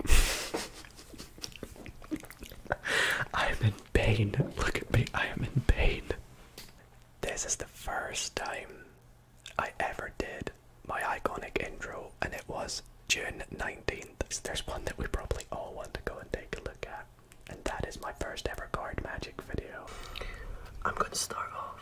I am in pain. Look at me. I am in pain. This is the first time I ever did my iconic intro, and it was June 19th. There's one that we probably all want to go and take a look at, and that is my first ever card magic video. I'm going to start off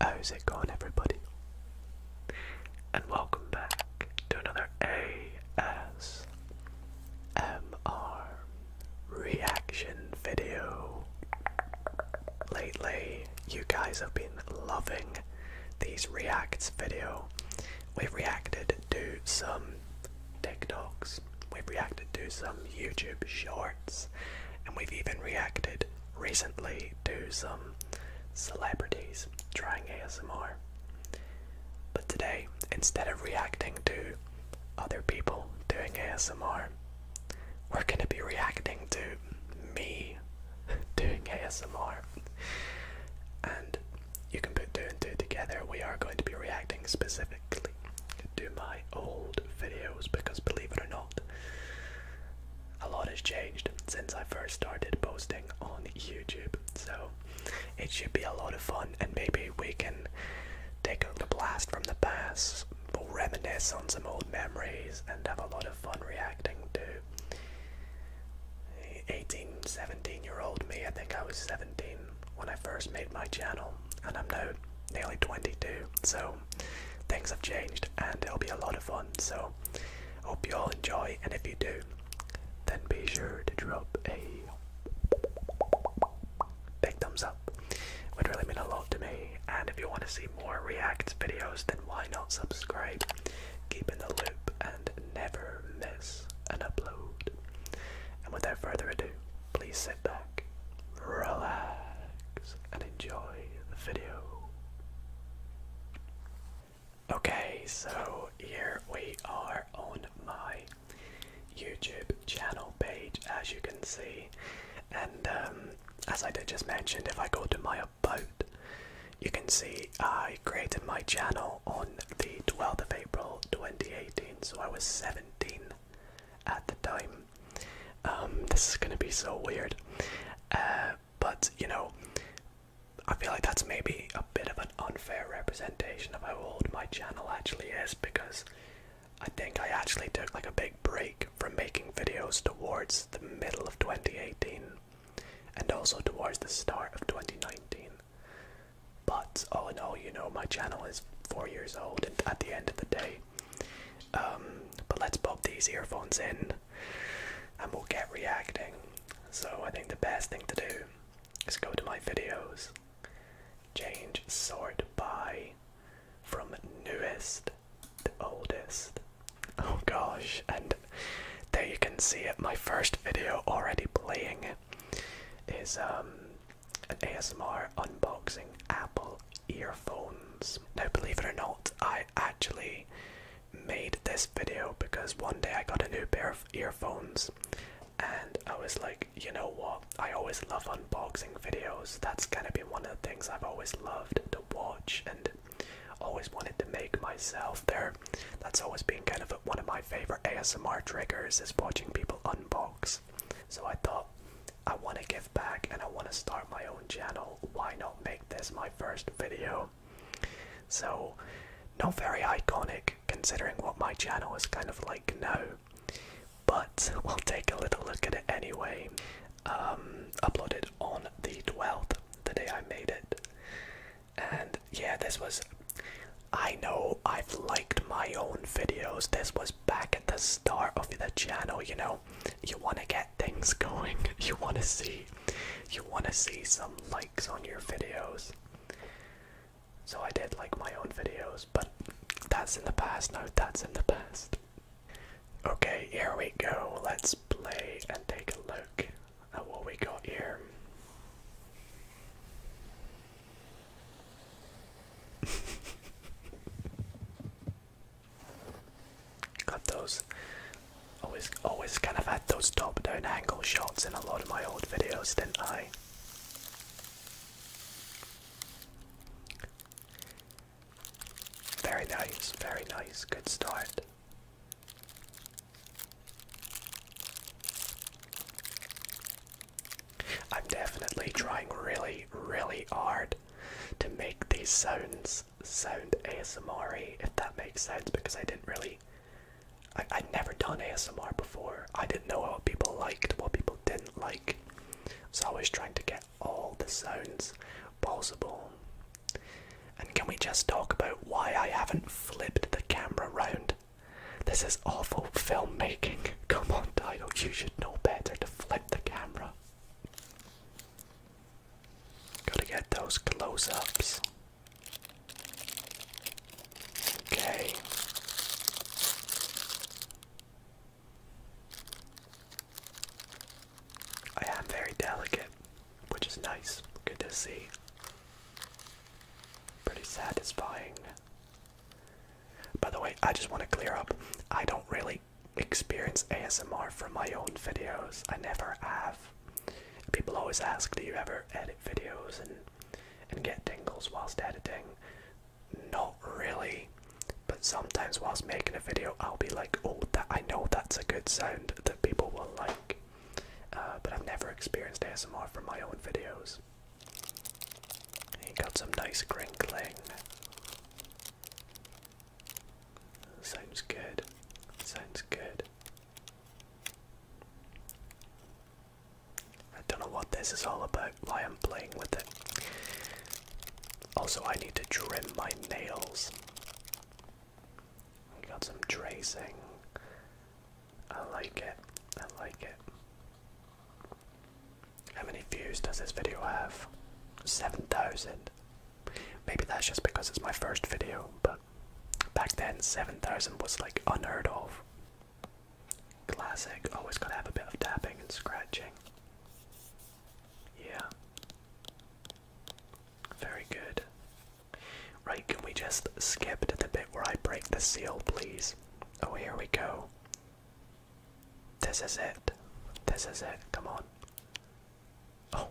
How's oh, it going, everybody? And welcome back to another ASMR reaction video. Lately, you guys have been loving these reacts video. We've reacted to some TikToks, we've reacted to some YouTube shorts, and we've even reacted recently to some celebrities trying ASMR. But today, instead of reacting to other people doing ASMR, we're going to be reacting to me doing ASMR. And you can put two and two together. We are going to be reacting specifically back to my old videos because believe it or not, a lot has changed since I first started posting on YouTube. So it should be a lot of fun, and maybe we can take a blast from the past, we'll reminisce on some old memories, and have a lot of fun reacting to 18, 17 year old me. I think I was 17 when I first made my channel, and I'm now nearly 22, so things have changed and it'll be a lot of fun. So, hope you all enjoy, and if you do, then be sure to drop a big thumbs up. Would really mean a lot to me. And if you want to see more React videos, then why not subscribe? Keep in the loop and never miss an upload. And without further ado, please sit back, relax, and enjoy the video. Okay, so here we are on my YouTube channel page, as you can see. And um, as I did just mention, if I go to my about, you can see I created my channel on the 12th of April 2018, so I was 17 at the time. Um, this is gonna be so weird, uh, but you know, I feel like that's maybe a bit of an unfair representation of how old my channel actually is because I think I actually took like a big break from making videos towards the middle of 2018 and also towards the start of 2019. But all in all, you know, my channel is four years old and at the end of the day. Um, but let's pop these earphones in and we'll get reacting. So I think the best thing to do is go to my videos, change sort by from newest to oldest. Oh gosh, and there you can see it. My first video already playing is um an ASMR unboxing Apple earphones. Now, believe it or not, I actually made this video because one day I got a new pair of earphones and I was like, you know what? I always love unboxing videos. That's kind of been one of the things I've always loved to watch and always wanted to make myself there. That's always been kind of one of my favorite ASMR triggers is watching people unbox so I thought, I want to give back and I want to start my own channel. Why not make this my first video? So, not very iconic considering what my channel is kind of like now, but we'll take a little look at it anyway. Um, uploaded on the 12th, the day I made it. And yeah, this was I know I've liked my own videos. This was back at the start of the channel, you know. You want to get things going. You want to see you want to see some likes on your videos. So I did like my own videos, but that's in the past No, That's in the past. Okay, here we go. Let's play and take a look at what we got here. Got those. Always, always kind of had those top-down angle shots in a lot of my old videos, didn't I? Very nice, very nice. Good start. I'm definitely trying really, really hard to make these sounds sound ASMR if that makes sense, because I didn't really. I, I'd never done ASMR before. I didn't know what people liked, what people didn't like. So I was trying to get all the sounds possible. And can we just talk about why I haven't flipped the camera around? This is awful filmmaking. Come on, Dido, you should know better to flip the camera. Gotta get those close ups. Okay. I am very delicate, which is nice. Good to see. Pretty satisfying. By the way, I just want to clear up. I don't really experience ASMR from my own videos. I never have. People always ask, do you ever edit videos and and get tingles whilst editing? Not really. But sometimes whilst making a video, I'll be like, oh, that I know that's a good sound that people will like. Uh, but I've never experienced ASMR from my own videos nice. He got some nice crinkling. Sounds good. Sounds good. I don't know what this is all about, why I'm playing with it. Also, I need to trim my nails. got some tracing. I like it. I like it. How many views does this video have? 7,000. Maybe that's just because it's my first video, but back then 7,000 was like unheard of. Classic, always gotta have a bit of tapping and scratching. Yeah. Very good. Right, can we just skip to the bit where I break the seal, please? Oh, here we go. This is it. This is it. Come on. Oh,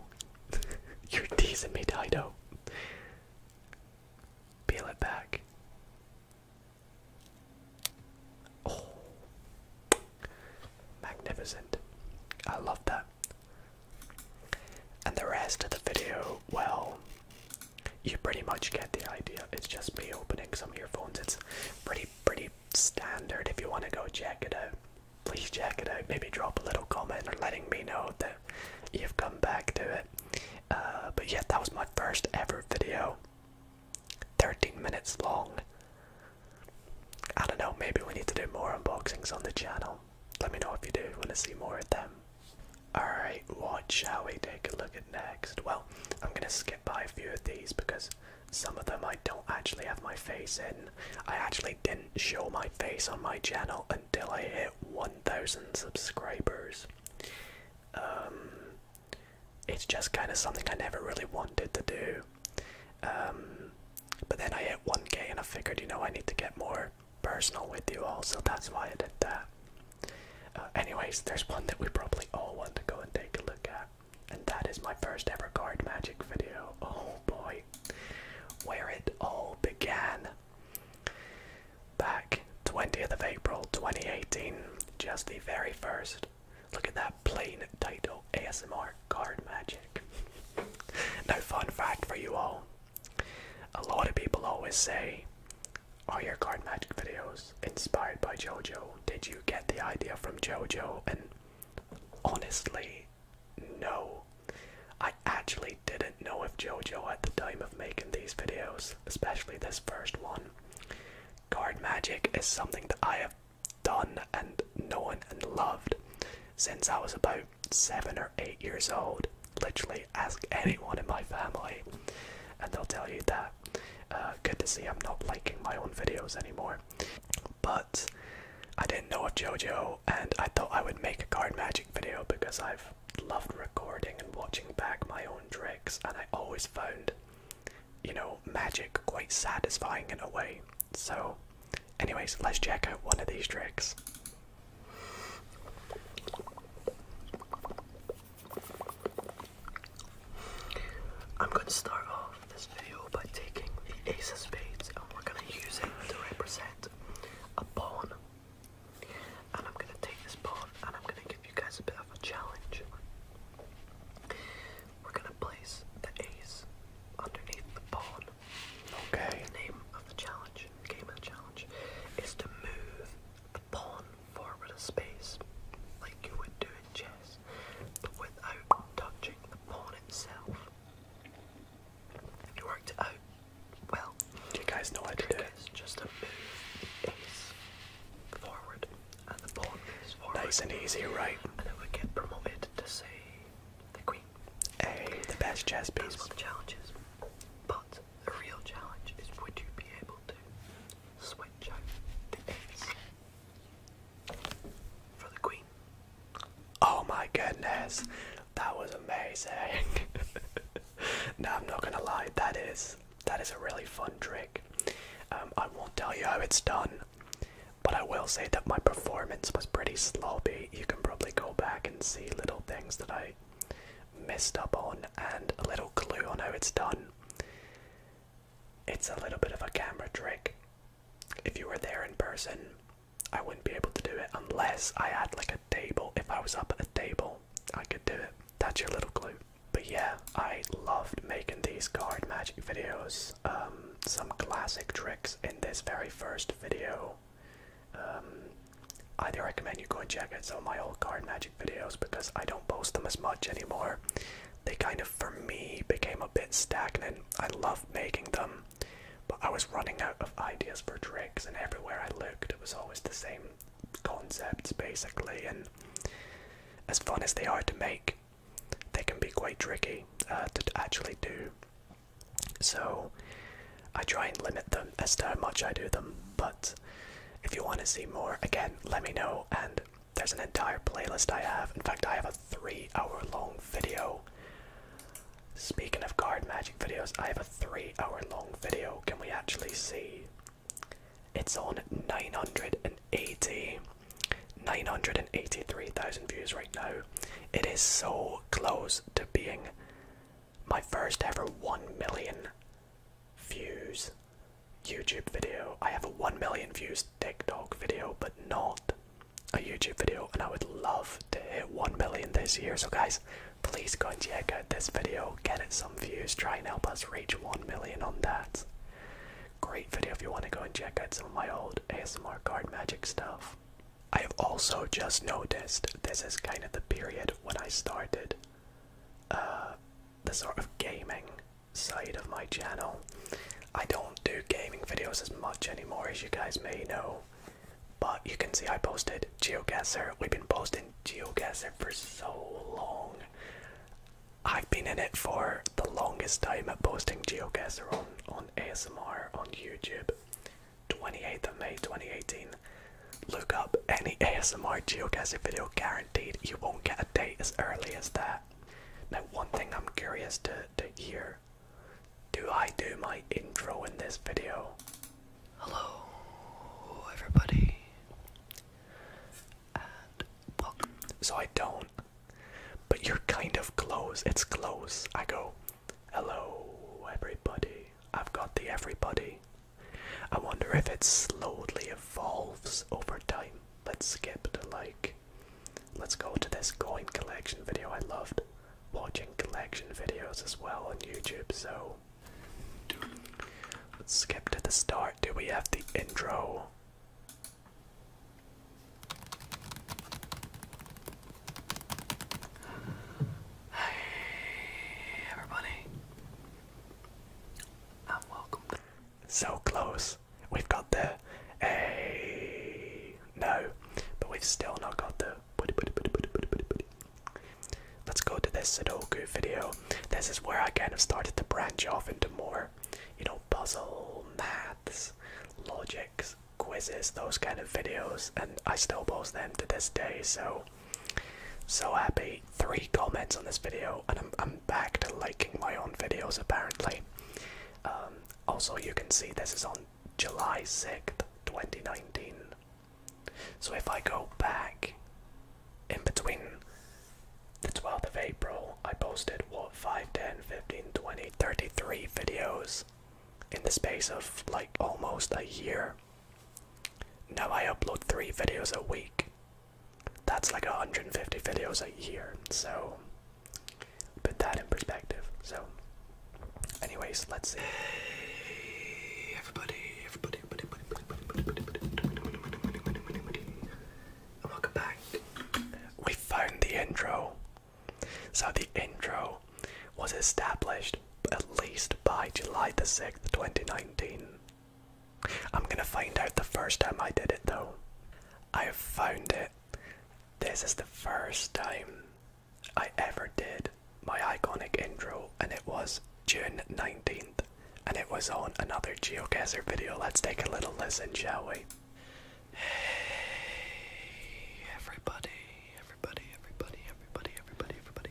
you're teasing me, Dido. Peel it back. Oh, magnificent. I love that. And the rest of the video, well, you pretty much get the idea. It's just me opening some of your phones. It's pretty, pretty standard. If you want to go check it out, please check it out. Maybe drop a little comment or letting me know that you've come back to it. Uh, but yeah, that was my first ever video. 13 minutes long. I don't know, maybe we need to do more unboxings on the channel. Let me know if you do want to see more of them. Alright, what shall we take a look at next? Well, I'm gonna skip by a few of these because some of them I don't actually have my face in. I actually didn't show my face on my channel until I hit 1000 subscribers. Um, it's just kind of something I never really wanted to do. Um, but then I hit 1k and I figured, you know, I need to get more personal with you all, so that's why I did that. Uh, anyways, there's one that we probably all want to go and take a look at, and that is my first ever card magic video. Oh boy, where it all began. Back 20th of April 2018, just the very first. Look at that plain title ASMR card magic. No fun fact for you all a lot of people always say, Are your card magic videos inspired by JoJo? Did you get the idea from JoJo? And honestly, no. I actually didn't know if JoJo at the time of making these videos, especially this first one. Card magic is something that I have done and known and loved since I was about seven or eight years old literally ask anyone in my family, and they'll tell you that. Uh, good to see I'm not liking my own videos anymore. But I didn't know of JoJo, and I thought I would make a card magic video because I've loved recording and watching back my own tricks, and I always found, you know, magic quite satisfying in a way. So, anyways, let's check out one of these tricks. I'm going to start off this video by taking the ace of spades and we're going to use it to represent a pawn. And I'm going to take this pawn and I'm going to give you guys a bit of a challenge. We're going to place the ace underneath the pawn. Okay. The name of the challenge, game of the challenge, is to move pawn forward a space, like you would do in chess, but without touching the pawn itself. You worked out. Well, you guys know how to do it? It's just a move the forward, and the pawn moves forward. Nice and easy, right? And it would get promoted to say the queen. Hey, the best chess piece. That's the challenge But the real challenge is would you be able to switch out the eggs for the queen? Oh my goodness, that was amazing. now I'm not gonna lie, that is that is a really fun trick. Um, I won't tell you how it's done, but I will say that my performance was pretty sloppy. You can probably go back and see little things that I messed up on, and a little clue on how it's done. It's a little bit of a camera trick. If you were there in person, I wouldn't be able to do it unless I had like a table. If I was up at a table, I could do it. That's your little clue. But yeah, I loved making these card magic videos. Um, some classic tricks in this very first video um, I do recommend you go and check out some of my old card magic videos because I don't post them as much anymore. They kind of, for me, became a bit stagnant. I love making them, but I was running out of ideas for tricks, and everywhere I looked, it was always the same concepts basically. And as fun as they are to make, they can be quite tricky uh, to actually do. So, I try and limit them as to how much I do them, but if you want to see more, again, let me know. And there's an entire playlist I have. In fact, I have a three hour long video. Speaking of card magic videos, I have a three hour long video. Can we actually see? It's on 980. 983,000 views right now. It is so close to being my first ever 1 million views YouTube video. I have a 1 million views TikTok video, but not a YouTube video, and I would love to hit 1 million this year. So, guys, please go and check out this video, get it some views, try and help us reach 1 million on that. Great video if you want to go and check out some of my old ASMR card magic stuff. I have also just noticed this is kind of the period when I started uh, the sort of gaming side of my channel. I don't do gaming videos as much anymore, as you guys may know, but you can see I posted geogazer. We've been posting geogazer for so long. I've been in it for the longest time posting geogazer on, on ASMR on YouTube. 28th of May 2018. Look up any ASMR geocaching video, guaranteed you won't get a date as early as that. Now, one thing I'm curious to, to hear do I do my intro in this video? Hello, everybody, and welcome. So I don't, but you're kind of close, it's close. I go, hello, everybody. I've got the everybody. I wonder if it slowly evolves over time. Let's skip to like. Let's go to this coin collection video. I loved watching collection videos as well on YouTube, so. Let's skip to the start. Do we have the intro? Hey, everybody, and welcome. So close. We've got the a no, but we've still not got the. Let's go to this Sudoku video. This is where I kind of started to branch off into more, you know, puzzle, maths, logics, quizzes, those kind of videos, and I still post them to this day. So so happy. Three comments on this video, and I'm, I'm back to liking my own videos apparently. Um, also, you can see this is on July 6th, 2019. So if I go back in between the 12th of April, I posted what 5, 10, 15, 20, 33 videos in the space of like almost a year. Now I upload three videos a week. That's like 150 videos a year, so put that in perspective. So, anyways, let's see. Hey, everybody, everybody, everybody, everybody, everybody, everybody, and welcome back. We found the intro. So the intro was established at least by July the 6th, 2019. I'm gonna find out the first time I did it though. I found it. This is the first time I ever did my iconic intro, and it was June 19th, and it was on another GeoGuessr video. Let's take a little listen, shall we? Hey, everybody, everybody, everybody, everybody, everybody, everybody.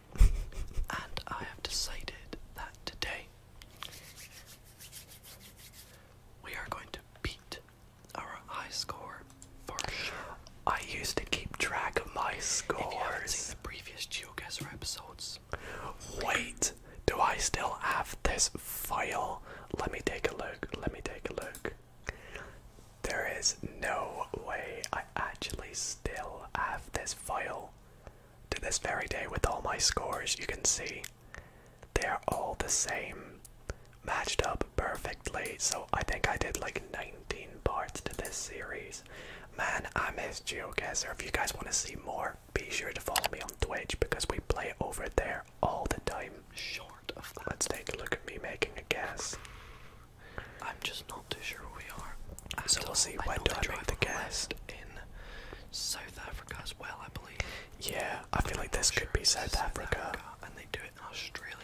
and I have decided that today we are going to beat our high score for sure. I used to keep track of my scores. If you have seen previous GeoGuessr episodes. Wait, do I still have this file? Let me take a look. Let me take a look. There is no way I actually still have this file to this very day with all my scores. You can see they're all the same, matched up perfectly. So I think I did like 19 parts to this series. Man, I miss GeoGuessr. If you guys want to see more, be sure to follow me on Twitch because we play over there all the time. Short of that. Let's take a look at me making a guess. I'm just not too sure where we are. At so we'll see. I when do I make the guest? In South Africa as well, I believe. Yeah, I feel like this could be South, Africa. And they do it in Australia.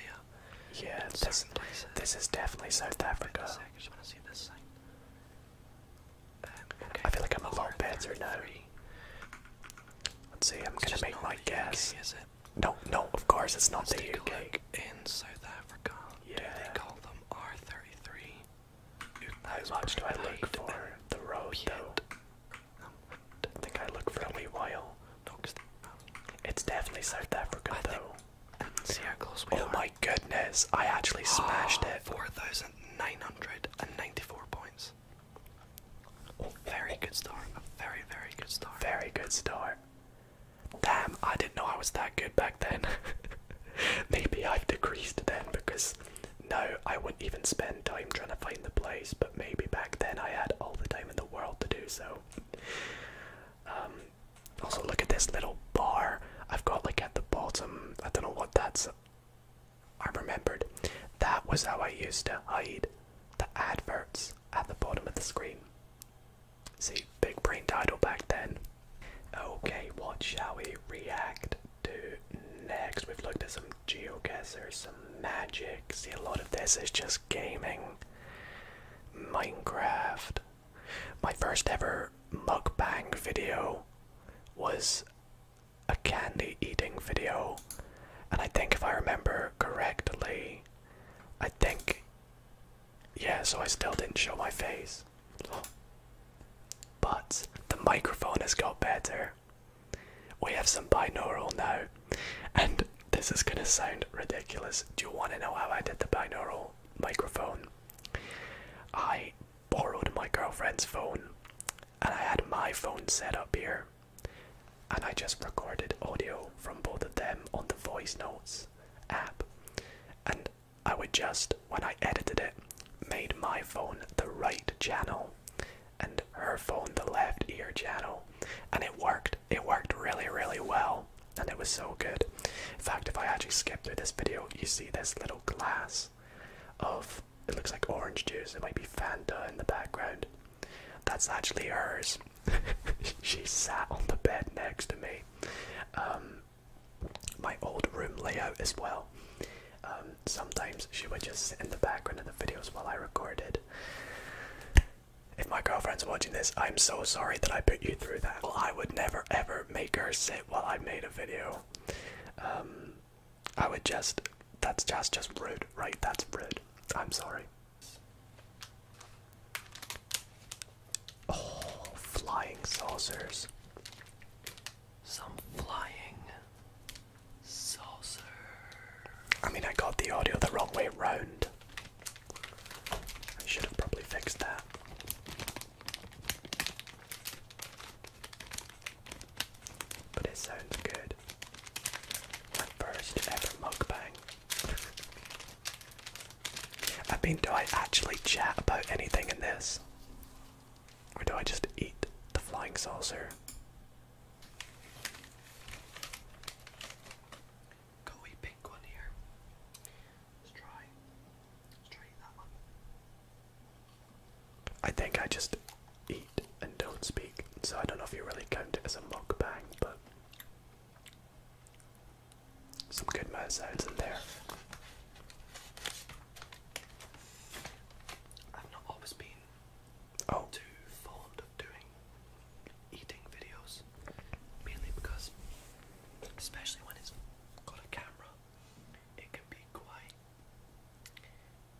Yeah, this, this is definitely South Africa. I just want to see this thing. Um, I feel like I'm a lot better now. Let's see, I'm gonna make my guess. is it? No, no, of course it's not let the UK. In South Africa, yeah. do they call them R33. How much I look for the road though? think I look for a wee while. It's definitely South Africa though. oh my goodness, I actually ah, smashed it. 4,994 points. Oh. very good start. very, very good start. Very good start. Damn, I didn't know I was that good back then. maybe I've decreased then because no, I wouldn't even spend time trying to find the place, but maybe back then I had all the time in the world to do so. Um, also, look at this little bar I've got like at the bottom. I don't know what that's. I remembered that was how I used to hide the adverts at the bottom of the screen. See, big brain title back then. Okay, what shall we react to next? We've looked at some geoguessers, some magic. See, a lot of this is just gaming. Minecraft. My first ever mukbang video was a candy eating video. And I think if I remember correctly, I think yeah, so I still didn't show my face. But the microphone has got better. We have some binaural now. And this is going to sound ridiculous. Do you want to know how I did the binaural microphone? I borrowed my girlfriend's phone and I had my phone set up here. And I just recorded audio from both of them on the voice notes app. And I would just, when I edited it, made my phone the right channel and her phone the left ear channel. And it worked. It worked really, really well. And it was so good. In fact, if I actually skip through this video, you see this little glass of it looks like orange juice. It might be Fanta in the background. That's actually hers. she sat on the bed next to me. Um, my old room layout as well. Um, sometimes she would just sit in the background of the videos while I recorded. If my girlfriend's watching this, I'm so sorry that I put you through that. I would never ever make her sit while I made a video. Um, I would just, that's just, just rude, right? That's rude. I'm sorry. Oh, flying saucers. Some flying saucer. I mean, I got the audio the wrong way round. I should have probably fixed that. But it sounds good. first ever mukbang. I mean, do I actually chat about anything in this? Or do I just eat the flying saucer? Got a pink one here. Let's try. Let's try that one. I think I just eat and don't speak, so I don't know if you really count it as a mukbang, but some good mozzides in there. I've not always been oh. too fond of doing eating videos, mainly because, especially when it's got a camera, it can be quite,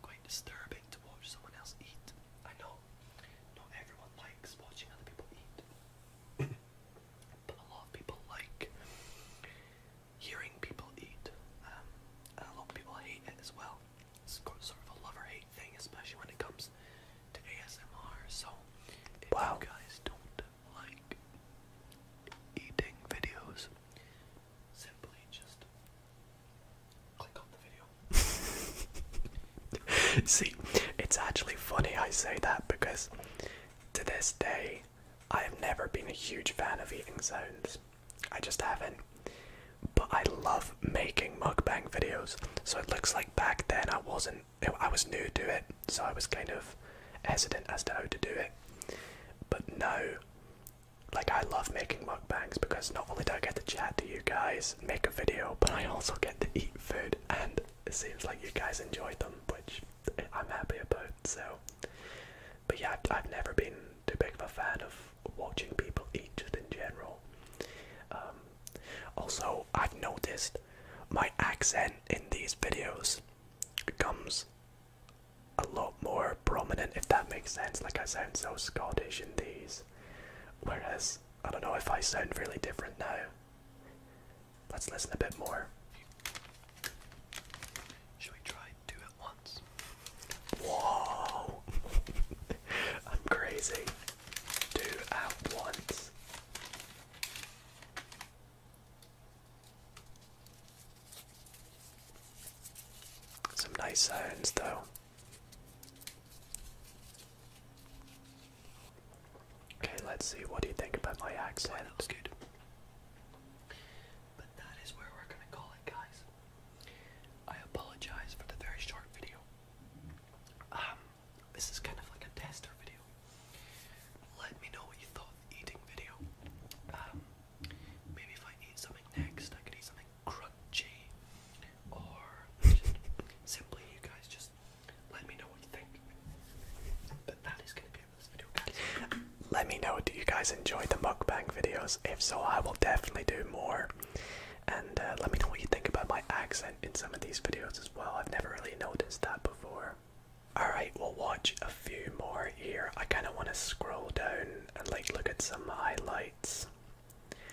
quite disturbing to watch someone else eat. I know not everyone likes watching other people eat. a lot of people like hearing people eat, um, and a lot of people hate it as well. It's sort of a love or hate thing, especially when it comes to ASMR. So, if wow. you guys don't like eating videos, simply just click on the video. See, it's actually funny I say that because to this day I have never been a huge fan of eating zones. I just haven't. But I love making mukbang videos. So it looks like back then I wasn't, I was new to it, so I was kind of hesitant as to how to do it. But now, like I love making mukbangs because not only do I get to chat to you guys, make a video, but I also get to eat food and it seems like you guys enjoyed them, which I'm happy about. So, but yeah, I've, never been too big of a fan of watching people eat in general. Um, also, I've noticed my accent in these videos becomes a lot more prominent, if that makes sense. Like, I sound so Scottish in these, whereas I don't know if I sound really different now. Let's listen a bit more. Should we try two at once? Whoa! I'm crazy. Two at once. Some nice sounds, though. Okay, let's see. What do you think about my accent? that was good. But that is where we're gonna call it, guys. I apologize for the very short video. Um, this is kind of like a tester video. Let me know what you thought of the eating video. Um, maybe if I eat something next, I could eat something crunchy, or simply you guys just let me know what you think. But that is going to be it for this video, guys. Let me know, do you guys enjoy the mukbang videos? If so, I will definitely do more. And uh, let me know what you think about my accent in some of these videos as well. I've never really noticed that before. Alright, we'll watch a few more here. I kind of want to scroll down and like look at some highlights.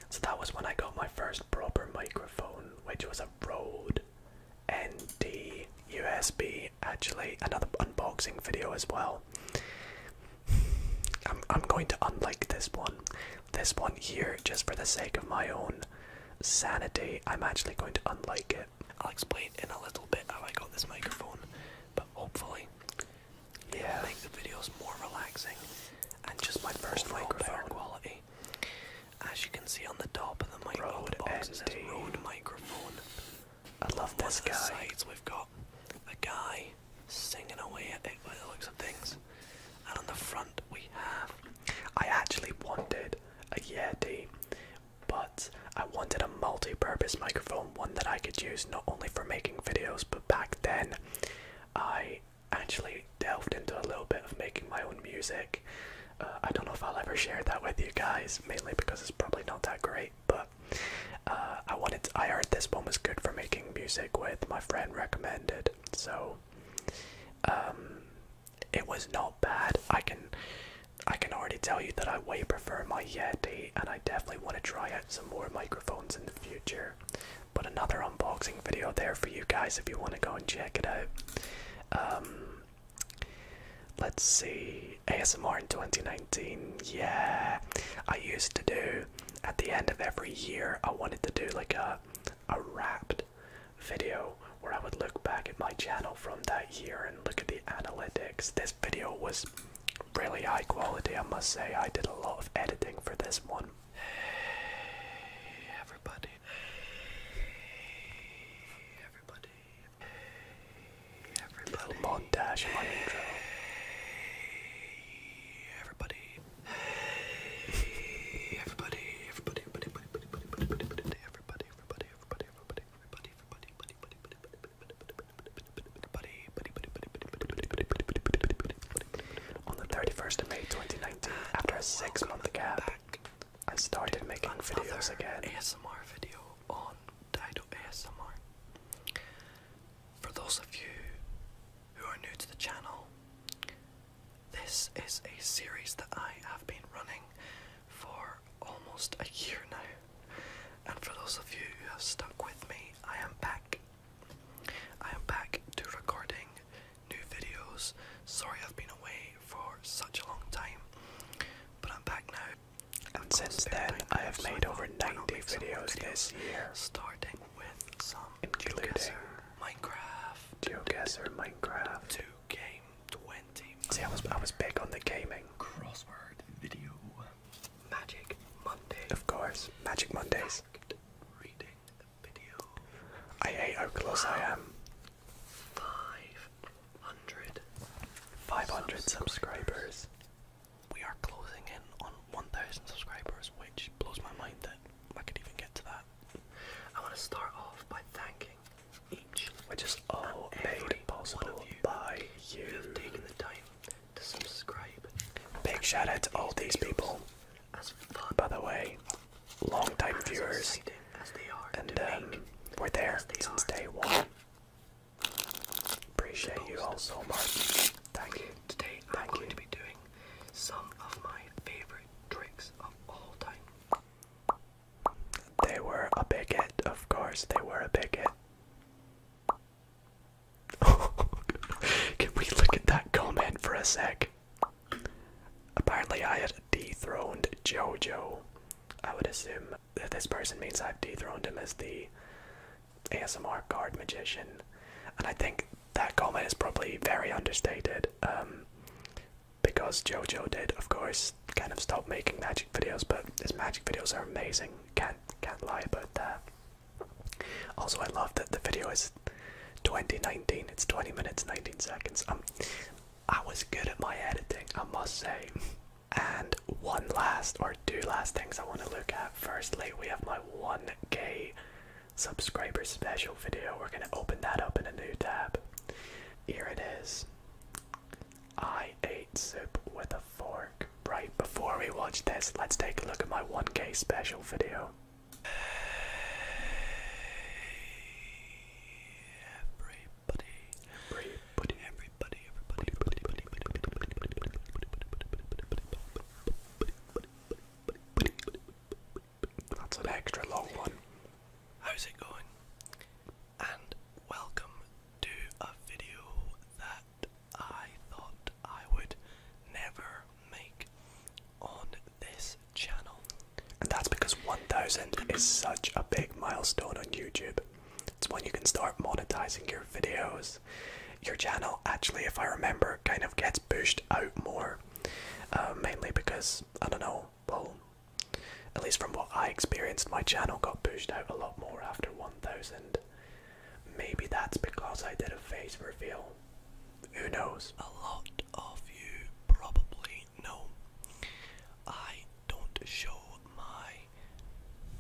So that was when I got my first proper microphone, which was a Rode ND USB actually another unboxing video as well. I'm I'm going to unlike this one. This one here just for the sake of my own sanity. I'm actually going to unlike it. I'll explain in a little bit how I got this microphone, but hopefully yeah. it'll make the videos more relaxing and just my first microphone quality. As you can see on the top of the microphone box, is a Rode microphone. I love this guy. Sides, we've got a guy singing away at it by the looks of things. And on the front we have. I actually wanted a Yeti, but I wanted a multi-purpose microphone, one that I could use not only for making videos, but back then I actually delved into a little bit of making my own music. Uh, I don't know if I'll ever share that with you guys, mainly because it's probably not that great. But uh, I wanted, I heard this one was good for making music with. My friend recommended, so um, it was not bad. I can, I can already tell you that I way prefer my Yeti, and I definitely want to try out some more microphones in the future. But another unboxing video there for you guys if you want to go and check it out. Um, let's see, ASMR in 2019. Yeah, I used to do at the end of every year. I wanted to do like a a wrapped video where I would look back at my channel from that year and look at the analytics. This video was really high quality, I must say. I did a lot of editing for this one. Hey, everybody. Hey, everybody. Hey, everybody. Little mod dash in my intro. Hey, everybody. Hey, everybody. Everybody, everybody, everybody, everybody, everybody, everybody, everybody, everybody, everybody, everybody, everybody, everybody, everybody, on the 31st of May 2019, after a six-month gap, I started making videos again. ASMR video on Dido ASMR. For those of you who are new to the channel, this is a series that I have been running for almost a year now. And for those of you who have stuck with me, I am back. I am back to recording new videos. Sorry I've been away for such a long time, but I'm back now. And, since then, I have made over 90 videos, this year, starting with some including Minecraft, GeoGuessr, Minecraft, 2 Game 20. See, I was I was big on the gaming crossword video, Magic Monday. Of course, Magic Mondays. reading. I am. 500. subscribers. We are closing in on 1,000 subscribers, which blows my mind that I could even get to that. I want to start off by thanking each, which is all made possible you by you. have taken the time to subscribe. Big shout out to all these people. By the way, long time viewers, and um, we're there since day one. Appreciate you all so much. Thank you. Today I'm going to be doing some of my favorite tricks of all time. They were a big hit, of course. They were a big hit. Can we look at that comment for a sec? Apparently, I had dethroned JoJo. I would assume that this person means I've dethroned him as the ASMR card magician. And I think that comment is probably very understated um, because JoJo did, of course, kind of stop making magic videos, but his magic videos are amazing. Can't, can't lie about that. Also, I love that the video is 2019. It's 20 minutes, 19 seconds. Um, I was good at my editing, I must say. And one last or two last things I want to look at. Firstly, we have my 1k subscriber special video. We're going to open that up in a new tab. Here it is. I ate soup with a fork. Right before we watch this, let's take a look at my 1k special video. Everybody. Everybody. Everybody. Everybody. That's an extra long one. How's it going? And welcome to a video that I thought I would never make on this channel. And that's because 1000 is such a big milestone on YouTube. It's when you can start monetizing your videos. Your channel, actually, if I remember, kind of gets pushed out more. Uh, mainly because, I don't know, well, at least from what I experienced, my channel got pushed out a lot more after 1000. Maybe that's because I did a face reveal. Who knows? A lot of you probably know I don't show my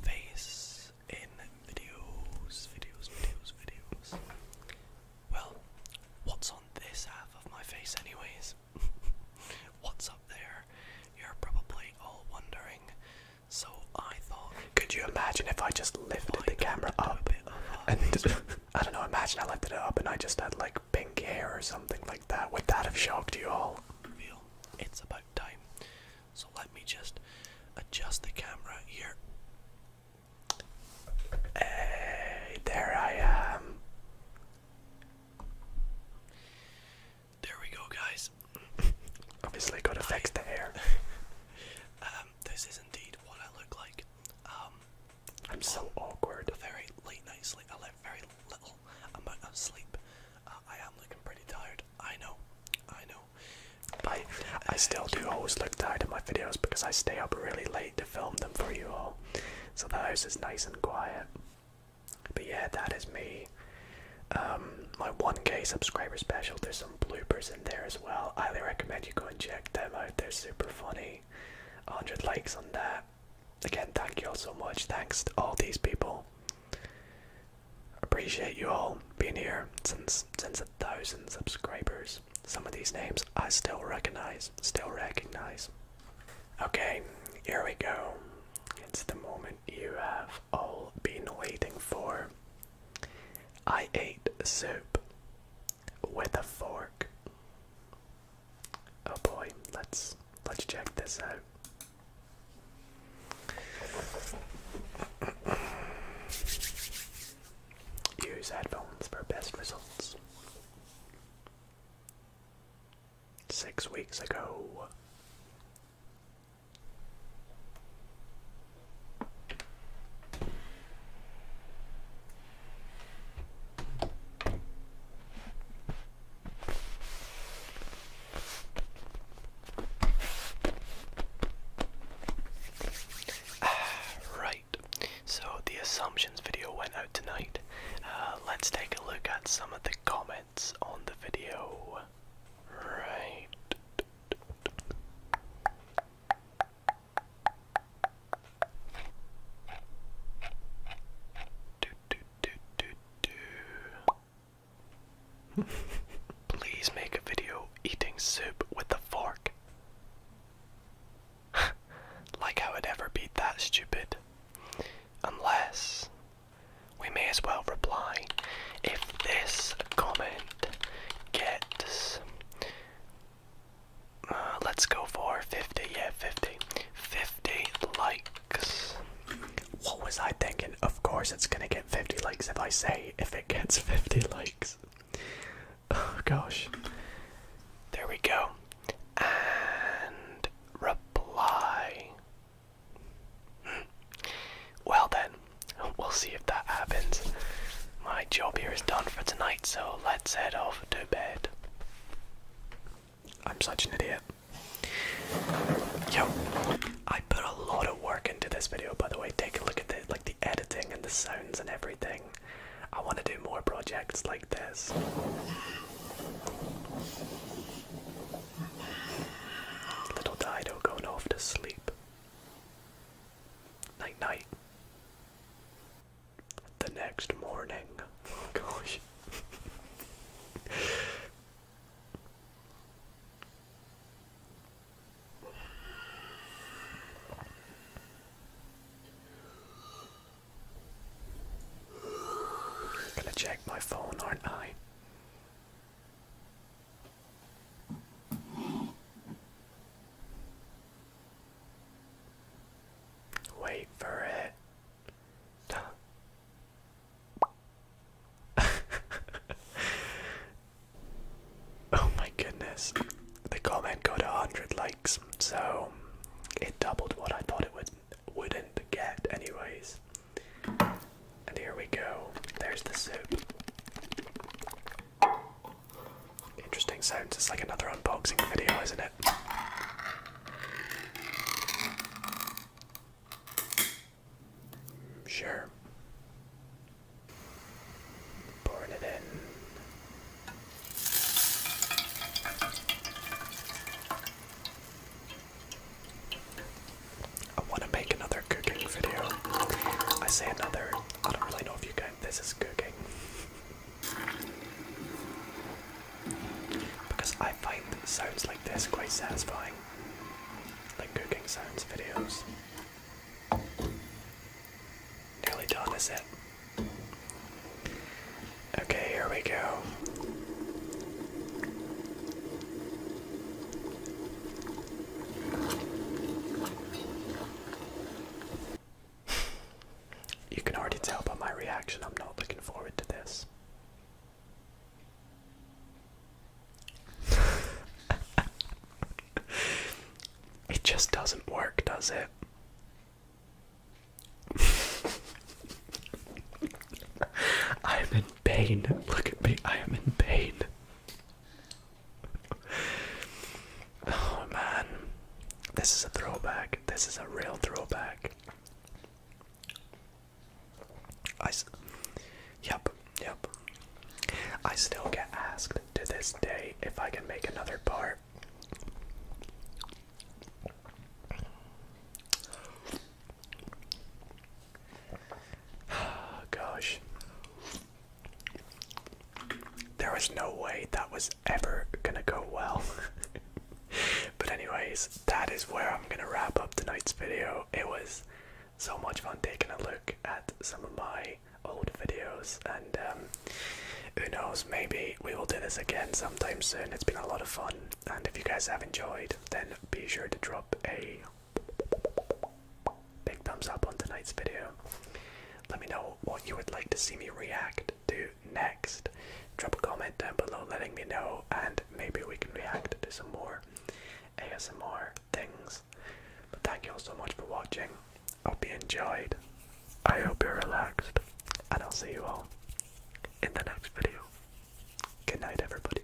face in videos, videos, videos, videos. Well, what's on this half of my face, anyways? what's up there? You're probably all wondering. So I thought. Could you imagine if I just lifted the camera up and I don't know, imagine I lifted it up and I just had like pink hair or something like that. Would that have shocked you all? It's about time. So let me just adjust the camera here. Hey, there I am. There we go, guys. Obviously, got to fix the hair. um, this is indeed what I look like. Um, I'm so awkward. Very late night I let very little amount of sleep. Uh, I am looking pretty tired. I know. I know. But I still do always look tired in my videos because I stay up really late to film them for you all. So the house is nice and quiet. But yeah, that is me. Um, my 1k subscriber special. There's some bloopers in there as well. highly recommend you go and check them out. They're super funny. 100 likes on that. Again, thank you all so much. Thanks to all these people. Appreciate you all being here since since a thousand subscribers. Some of these names I still recognize, still recognize. Okay, here we go. It's the moment you have all been waiting for. I ate soup with a fork. Oh boy, let's let's check this out. Use headphones for best results. Six weeks ago. Ah, right, so the assumptions video went out tonight. Uh, let's take a look at some of the comments on the video. Right. Please make a video eating soup with a fork. like I would ever be that stupid. Unless we may as well reply if this comment gets let's go for 50. Yeah, 50. 50 likes. What was I thinking? Of course, it's gonna get 50 likes if I say if it gets 50 likes. Oh gosh. There we go. And reply. Hmm. Well, then, we'll see if that happens. My job here is done for tonight, so let's head off to bed. I'm such an idiot. Yo, I put a lot of work into this video, by the way. Take a look at the like the editing and the sounds and everything. I want to do more projects like this. Little Dido going off to sleep. Night night. The next morning. Oh gosh. Gonna check my phone, aren't I? Wait for it. oh my goodness. The comment got a hundred likes, so it doubled what I thought it would wouldn't get anyways. And here we go. There's the soup. Interesting sounds. It's like another unboxing video, isn't it? Sure. Pouring it in. I want to make another cooking video. I say another, I don't really know if you guys, this is cooking. Because I find sounds like this quite satisfying. Like cooking sounds videos. Nearly done, is it? Okay, here we go. You can already tell by my reaction, I'm not looking forward to this. it just doesn't work, does it? I am in pain. Look at me. I am in pain oh man, this is a throwback. This is a real throwback. I, yep, yep. I still get asked to this day if I can make another part. Gosh. There was no way that was ever gonna go well. but, anyways, that is where I'm gonna wrap up tonight's video. It was so much fun taking a look at some of my old videos, and um, who knows, maybe we will do this again sometime soon. It's been a lot of fun, and if you guys have enjoyed, then be sure to drop a big thumbs up on tonight's video. Let me know what you would like to see me react to next. Drop a comment down below letting me know, and maybe we can react to some more ASMR things. But thank you all so much for watching. I hope you enjoyed. I hope you're relaxed, and I'll see you all in the next video. Good night, everybody.